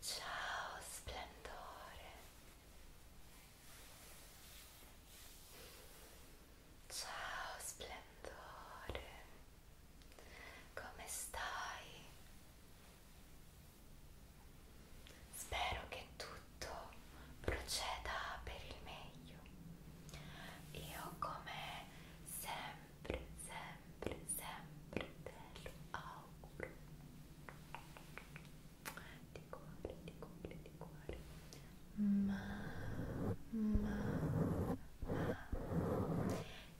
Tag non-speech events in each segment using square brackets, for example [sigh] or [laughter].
Ciao splendore. Ciao splendore. Come stai? Spero che tutto proceda per il meglio. Io come sempre, sempre, sempre te lo auguro. Di cuore, di cuore, di cuore. Ma, ma, ma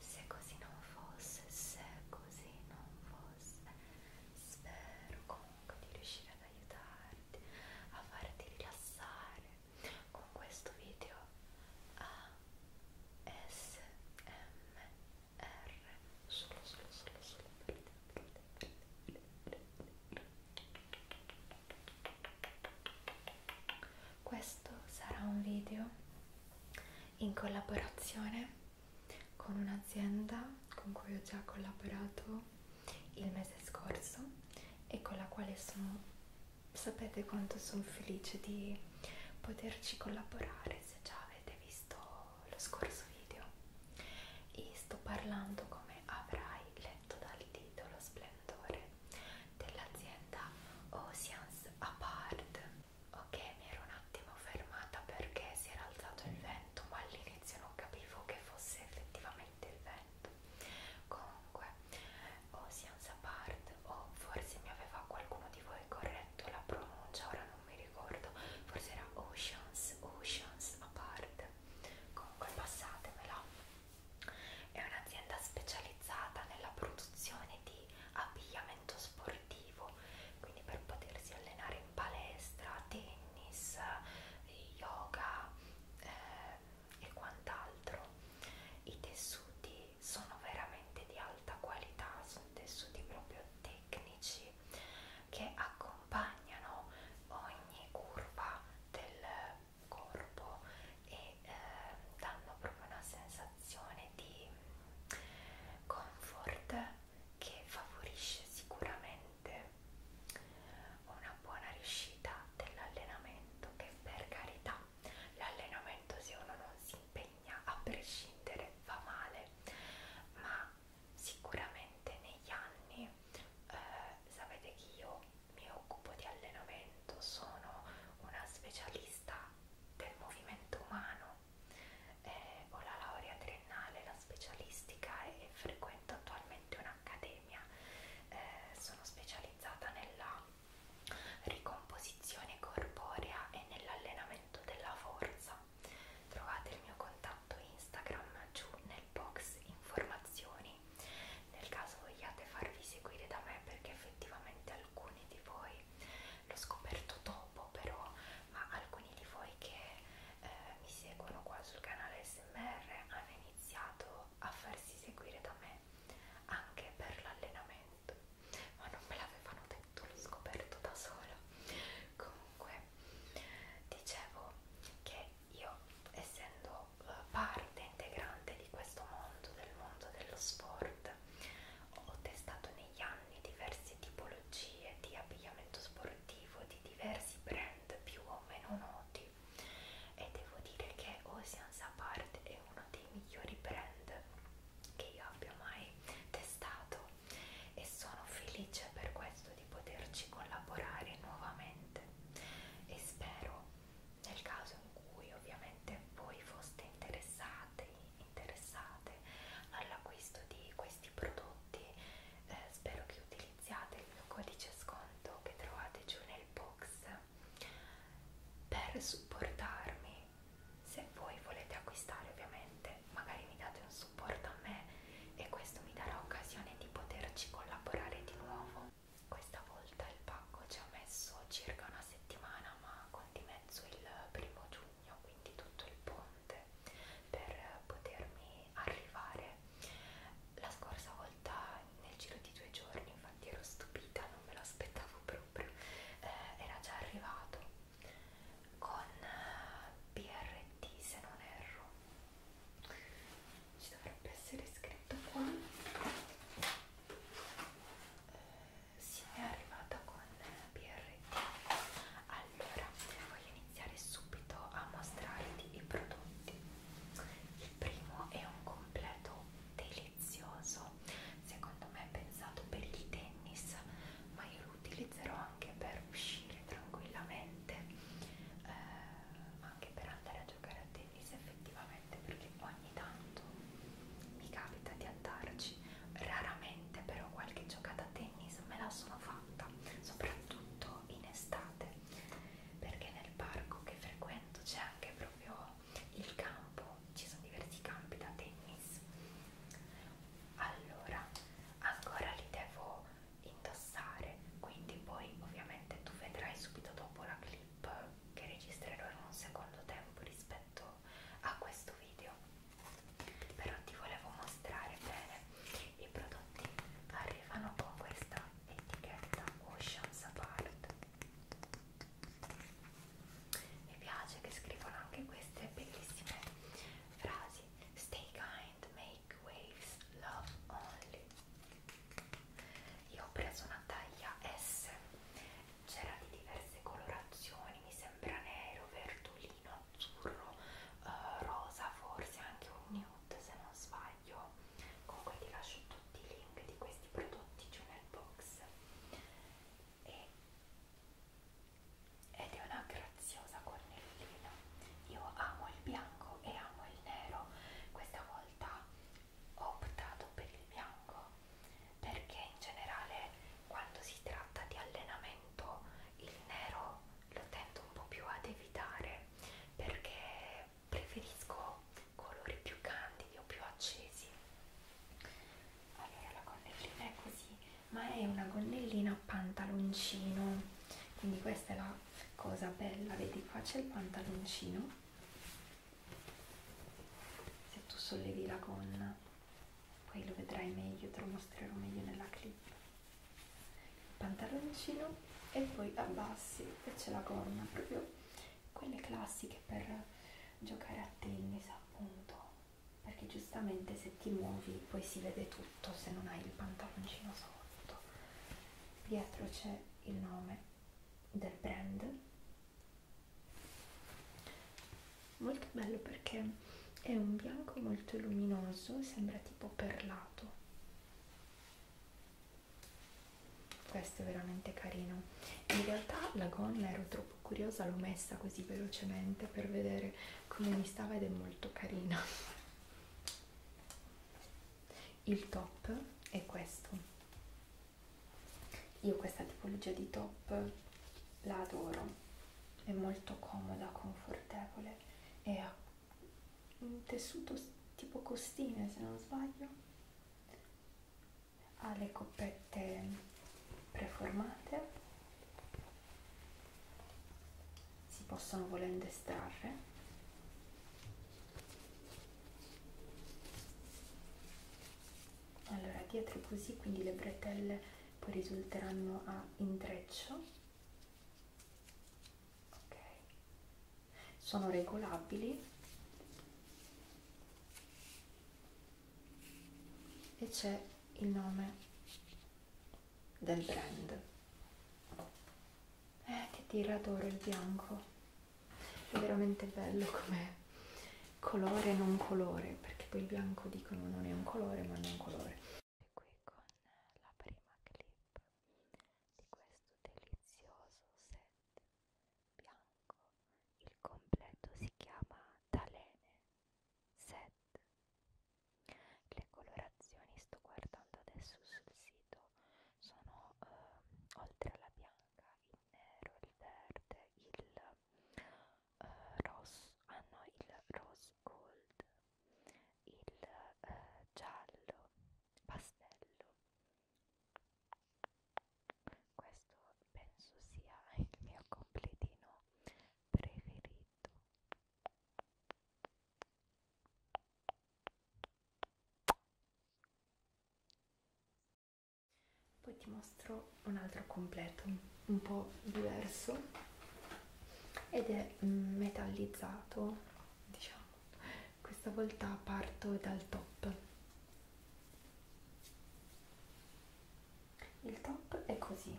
se così non fosse, se così non fosse, spero comunque di riuscire ad aiutarti, a farti rilassare con questo video ASMR solo solo solo solo per te. Questo sarà un video in collaborazione con un'azienda con cui ho già collaborato il mese scorso e con la quale sono, sapete quanto sono felice di poterci collaborare se già avete visto lo scorso video e sto parlando come avrai letto dal titolo splendore dell'azienda Oceans Apart Ok, mi ero un attimo fermata perché si era alzato il vento, ma all'inizio non capivo che fosse effettivamente il vento. Comunque, o Scienza Part, o forse mi aveva qualcuno di voi corretto la pronuncia, ora non mi ricordo, forse era Oceans, Oceans a parte. Comunque, passatemela. È un'azienda specializzata nella produzione di abbigliamento allenamento sportivo, quindi per potersi allenare in palestra, tennis, eh, yoga eh, e quant'altro. I tessuti sono veramente di alta qualità, sono tessuti proprio tecnici che accompagnano ogni curva del corpo e eh, danno proprio una sensazione di comfort che favorisce sicuramente una buona riuscita dell'allenamento che per carità l'allenamento se uno non si impegna a prescindere fa male ma sicuramente negli anni eh, sapete che io mi occupo di allenamento sono una specialista del movimento umano. Eh, ho la laurea triennale, la specialistica e frequento attualmente un'accademia. Eh, sono specializzata nella ricomposizione corporea e nell'allenamento della forza. Trovate il mio contatto Instagram giù nel box informazioni nel caso vogliate farvi seguire da me perché effettivamente alcuni di voi, l'ho scoperto dopo però, ma alcuni di voi che eh, mi seguono qua sul canale SMR hanno iniziato a farsi seguire da me anche per l'allenamento, ma non me l'avevano detto, l'ho scoperto da sola. Comunque, dicevo che io essendo eh, parte integrante di questo mondo, del mondo dello sport, ho testato negli anni diverse tipologie di abbigliamento sportivo di diversi brand più o meno noti e devo dire che Oceans Apart è uno dei migliori brand che io abbia mai testato e sono felice per questo di poterci collaborare nuovamente e spero nel caso in cui ovviamente voi foste interessati, interessate all'acquisto di questi prodotti, eh, spero che utilizziate il mio codice sconto che trovate giù nel box per supportarmi. Se voi volete acquistare ovviamente, magari mi date un supporto a me e questo mi darà occasione di poterci collaborare di nuovo. Questa volta il pacco ci ha messo circa una settimana chiama con di mezzo il primo giugno, quindi tutto il ponte, per potermi arrivare. La scorsa volta, nel giro di due giorni, infatti ero stupita, non me lo aspettavo proprio, eh, era già arrivato con eh, BRT se non erro. Ci dovrebbe essere scritto qua eh, si è arrivata con BRT allora voglio iniziare subito a mostrarti i prodotti il primo è un completo delizioso secondo me è pensato per il tennis ma io lo utilizzerò anche per uscire tranquillamente eh, anche per andare a giocare a tennis tennis effettivamente perché ogni tanto mi capita di andarci raramente però qualche giocata a tennis me la sono fatta soprattutto in estate perché nel parco che frequento c'è anche proprio il campo ci sono diversi campi da tennis allora ancora li devo indossare quindi poi ovviamente tu vedrai subito dopo la clip clip che registrerò in un secondo tempo rispetto a questo video però ti volevo mostrare bene i prodotti arrivano con questa etichetta Oceans Apart mi piace che scrivono anche queste bellissime frasi Stay kind, make waves, love only io ho preso una taglia S c'era di diverse colorazioni, mi sembra nero, verdolino, azzurro, eh, rosa, forse anche un nude se non sbaglio. Comunque ti lascio tutti i link di questi prodotti giù nel box. E ed è una graziosa cornellina. Io amo il bianco e amo il nero. Questa volta ho optato per il bianco perché in generale quando si tratta di allenamento il nero lo tendo un po' più ad evitare perché preferisco colori più candidi o più accesi allora la gonnellina è così ma è una gonnellina pantaloncino quindi questa è la cosa bella vedi qua c'è il pantaloncino se tu sollevi la gonna poi lo vedrai meglio te lo mostrerò meglio nella clip il pantaloncino e poi abbassi e c'è la gonna proprio quelle classiche per giocare a tennis appunto perché giustamente se ti muovi poi si vede tutto se non hai il pantaloncino sotto dietro c'è il nome del brand molto bello perché è un bianco molto luminoso sembra tipo perlato questo è veramente carino in realtà la gonna ero troppo curiosa l'ho messa così velocemente per vedere come mi stava ed è molto carina [laughs] il top è questo io questa tipologia di top la adoro, è molto comoda, confortevole e ha un tessuto tipo costine se non sbaglio, ha le coppette preformate, si possono volendo estrarre allora dietro così quindi le bretelle poi risulteranno a intreccio ok sono regolabili e c'è il nome del brand eh che tira d'oro il bianco è veramente bello come colore non colore perché poi il bianco dicono non è un colore ma non colore e qui con la prima clip di questo delizioso set bianco il completo si chiama Talene set le colorazioni sto guardando adesso sul sito sono eh, oltre alla bianca in nero, il verde, il uh, rosso, ah no, il rose gold, il uh, giallo, pastello. Questo penso sia il mio completino preferito. Poi ti mostro un altro completo, un po' diverso ed è mm, metallizzato, diciamo. Questa volta parto dal top. Il top è così.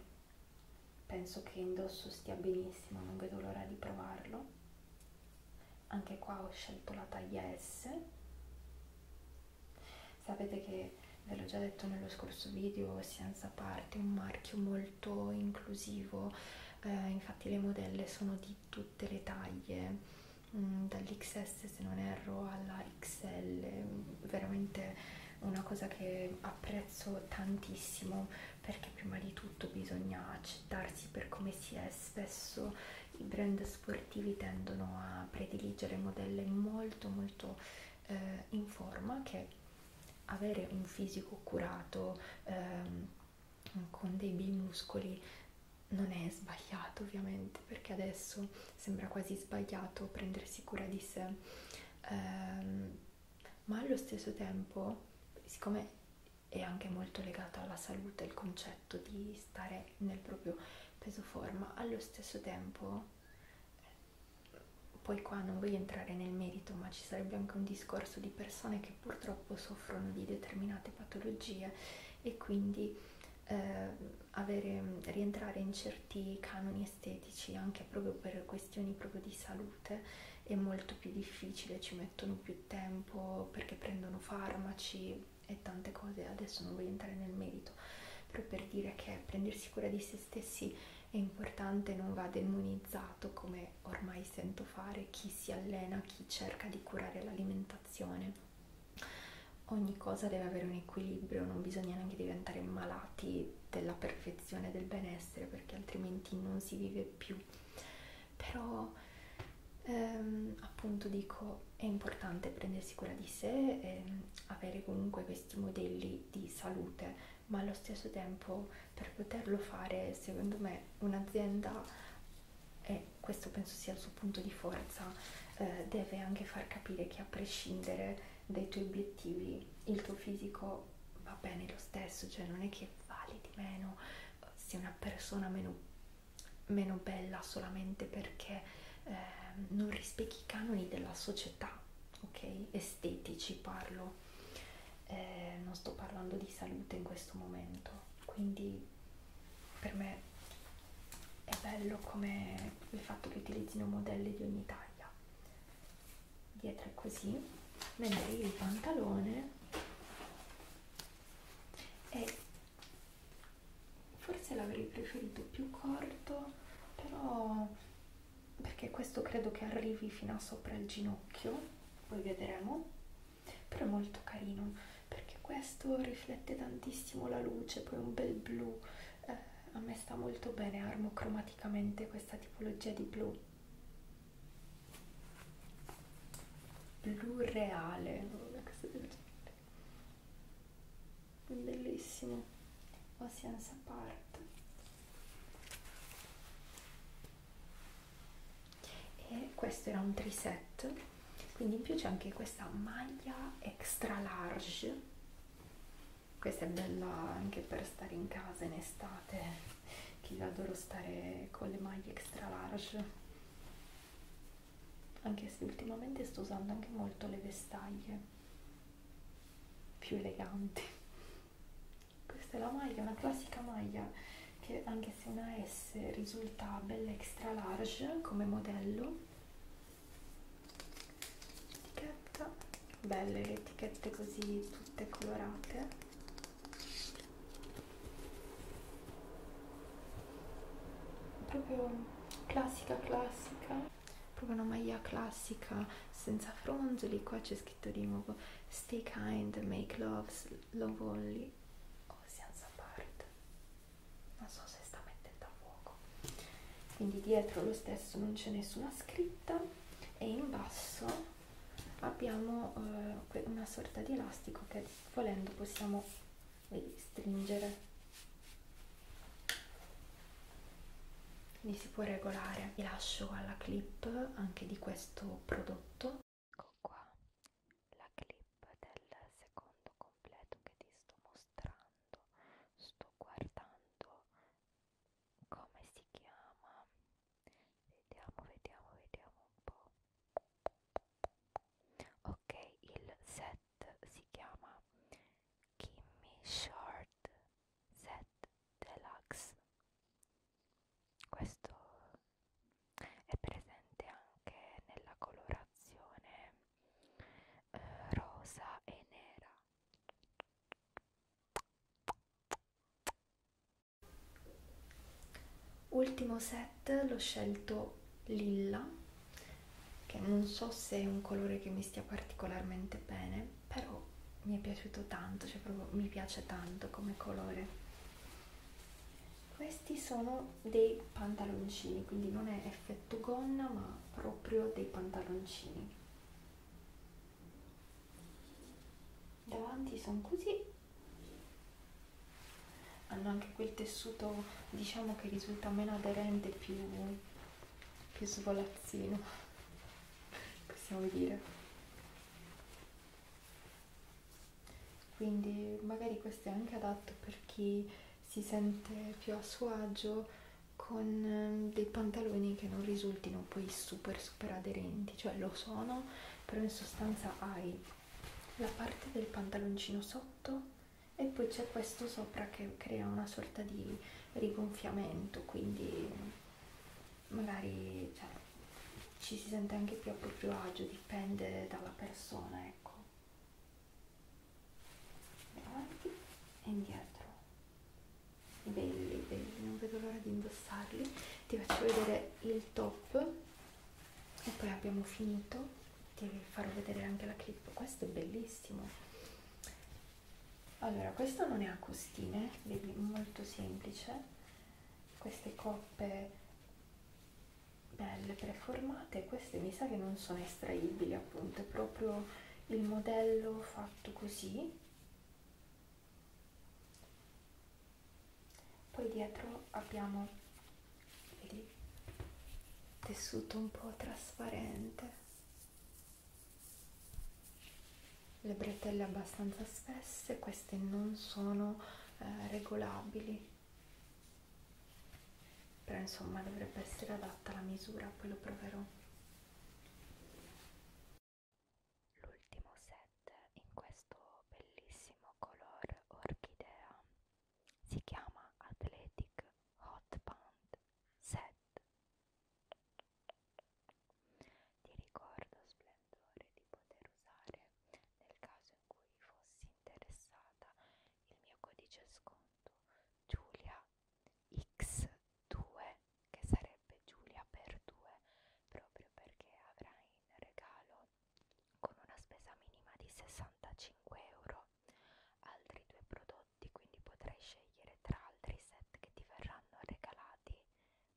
Penso che indosso stia benissimo, non vedo l'ora di provarlo anche qua ho scelto la taglia S sapete che ve l'ho già detto nello scorso video Scienza Parte è un marchio molto inclusivo eh, infatti le modelle sono di tutte le taglie mm, dall'XS se non erro alla XL veramente una cosa che apprezzo tantissimo perché prima di tutto bisogna accettarsi per come si è spesso i brand sportivi tendono a prediligere modelle molto molto eh, in forma che avere un fisico curato ehm, con dei bei muscoli non è sbagliato ovviamente perché adesso sembra quasi sbagliato prendersi cura di sé ehm, ma allo stesso tempo siccome è anche molto legata alla salute il concetto concetto di stare nel proprio peso forma allo stesso tempo poi qua non voglio entrare nel merito ma ci sarebbe anche un discorso di persone che purtroppo soffrono di determinate patologie e quindi eh, avere, rientrare in certi canoni estetici anche proprio per questioni proprio di salute è molto più difficile, ci mettono più tempo perché prendono farmaci e tante cose, adesso non voglio entrare nel merito, però per dire che prendersi cura di se stessi è importante, non va demonizzato come ormai sento fare chi si allena, chi cerca di curare l'alimentazione. Ogni cosa deve avere un equilibrio, non bisogna neanche diventare malati della perfezione del benessere perché altrimenti non si vive più però ehm, appunto dico è importante prendersi cura di sé e ehm, avere comunque questi modelli di salute ma allo stesso tempo per poterlo fare secondo me un'azienda e questo penso sia il suo punto di forza eh, deve anche far capire che a prescindere dai tuoi obiettivi il tuo fisico va bene lo stesso cioè non è che vali di meno eh, sei una persona meno meno bella solamente perché eh, non rispecchi i canoni della società, ok? Estetici parlo, eh, non sto parlando di salute in questo momento, quindi per me è bello come il fatto che utilizzino modelli di ogni taglia. Dietro è così, mentre il pantalone è forse l'avrei preferito più corto però perché questo credo che arrivi fino a sopra il ginocchio poi vedremo però è molto carino perché questo riflette tantissimo la luce poi un bel blu eh, a me sta molto bene armo cromaticamente questa tipologia di blu blu reale questo bellissimo Oceans Apart e questo era un triset quindi in più c'è anche questa maglia extra large questa è bella anche per stare in casa in estate che io adoro stare con le maglie extra large anche se ultimamente sto usando anche molto le vestaglie più eleganti questa è la maglia una classica maglia che anche se una S risulta bella extra large come modello etichetta belle le etichette così tutte colorate proprio classica classica proprio una maglia classica senza fronzoli qua c'è scritto di nuovo stay kind make love love only o oh, senza parte non so se sta mettendo a fuoco quindi dietro lo stesso non c'è nessuna scritta e in basso abbiamo eh, una sorta di elastico che volendo possiamo vedi, stringere quindi si può regolare vi lascio alla clip anche di questo prodotto ecco qua la clip del secondo completo che ti sto mostrando sto guardando come si chiama vediamo vediamo vediamo un po' ok il set si chiama Kimmy Short Set Deluxe questo è presente anche nella colorazione eh, rosa e nera Ultimo set l'ho scelto lilla, che non so se è un colore che mi stia particolarmente bene, però mi è piaciuto tanto, cioè proprio mi piace tanto come colore. Questi sono dei pantaloncini, quindi non è effetto gonna, ma proprio dei pantaloncini. Davanti sono così hanno anche quel tessuto diciamo che risulta meno aderente più, più svolazzino [laughs] possiamo dire quindi magari questo è anche adatto per chi si sente più a suo agio con ehm, dei pantaloni che non risultino poi super super aderenti cioè lo sono però in sostanza hai la parte del pantaloncino sotto e poi c'è questo sopra che crea una sorta di rigonfiamento quindi magari cioè, ci si sente anche più a proprio agio dipende dalla persona ecco davanti e indietro belli belli non vedo l'ora di indossarli ti faccio vedere il top e poi abbiamo finito Devi farò vedere anche la clip questo è bellissimo allora questo non è a costine vedi molto semplice queste coppe belle preformate queste mi sa che non sono estraibili appunto è proprio il modello fatto così poi dietro abbiamo vedi, tessuto un po' trasparente le bretelle abbastanza spesse queste non sono eh, regolabili però insomma dovrebbe essere adatta la misura poi lo proverò l'ultimo set Red in questo bellissimo color orchidea si chiama Athletic Hot Band Set ti ricordo splendore di poter usare nel caso in cui fossi interessata il mio codice sconto Giulia X2 che sarebbe Giulia per 2 proprio perché avrai in regalo con una spesa minima di 65 euro altri due prodotti quindi potrai scegliere tra altri set che ti verranno regalati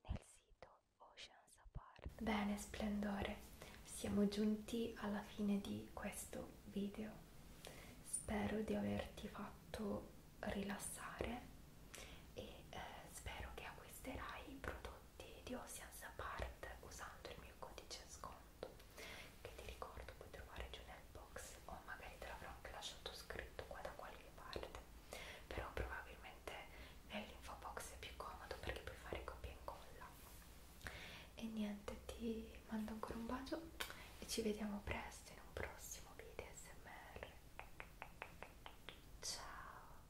nel sito Oceans Apart bene splendore siamo giunti alla fine di questo video spero di averti fatto rilassare e eh, spero che acquisterai i prodotti prodotti di Oceans Apart usando il mio codice sconto che ti ricordo puoi trovare giù nel box o magari te l'avrò anche lasciato scritto qua da qualche parte però probabilmente nell'info box è più comodo perché puoi fare copia e incolla e niente ti mando ancora un bacio e ci vediamo presto in un prossimo video smr ciao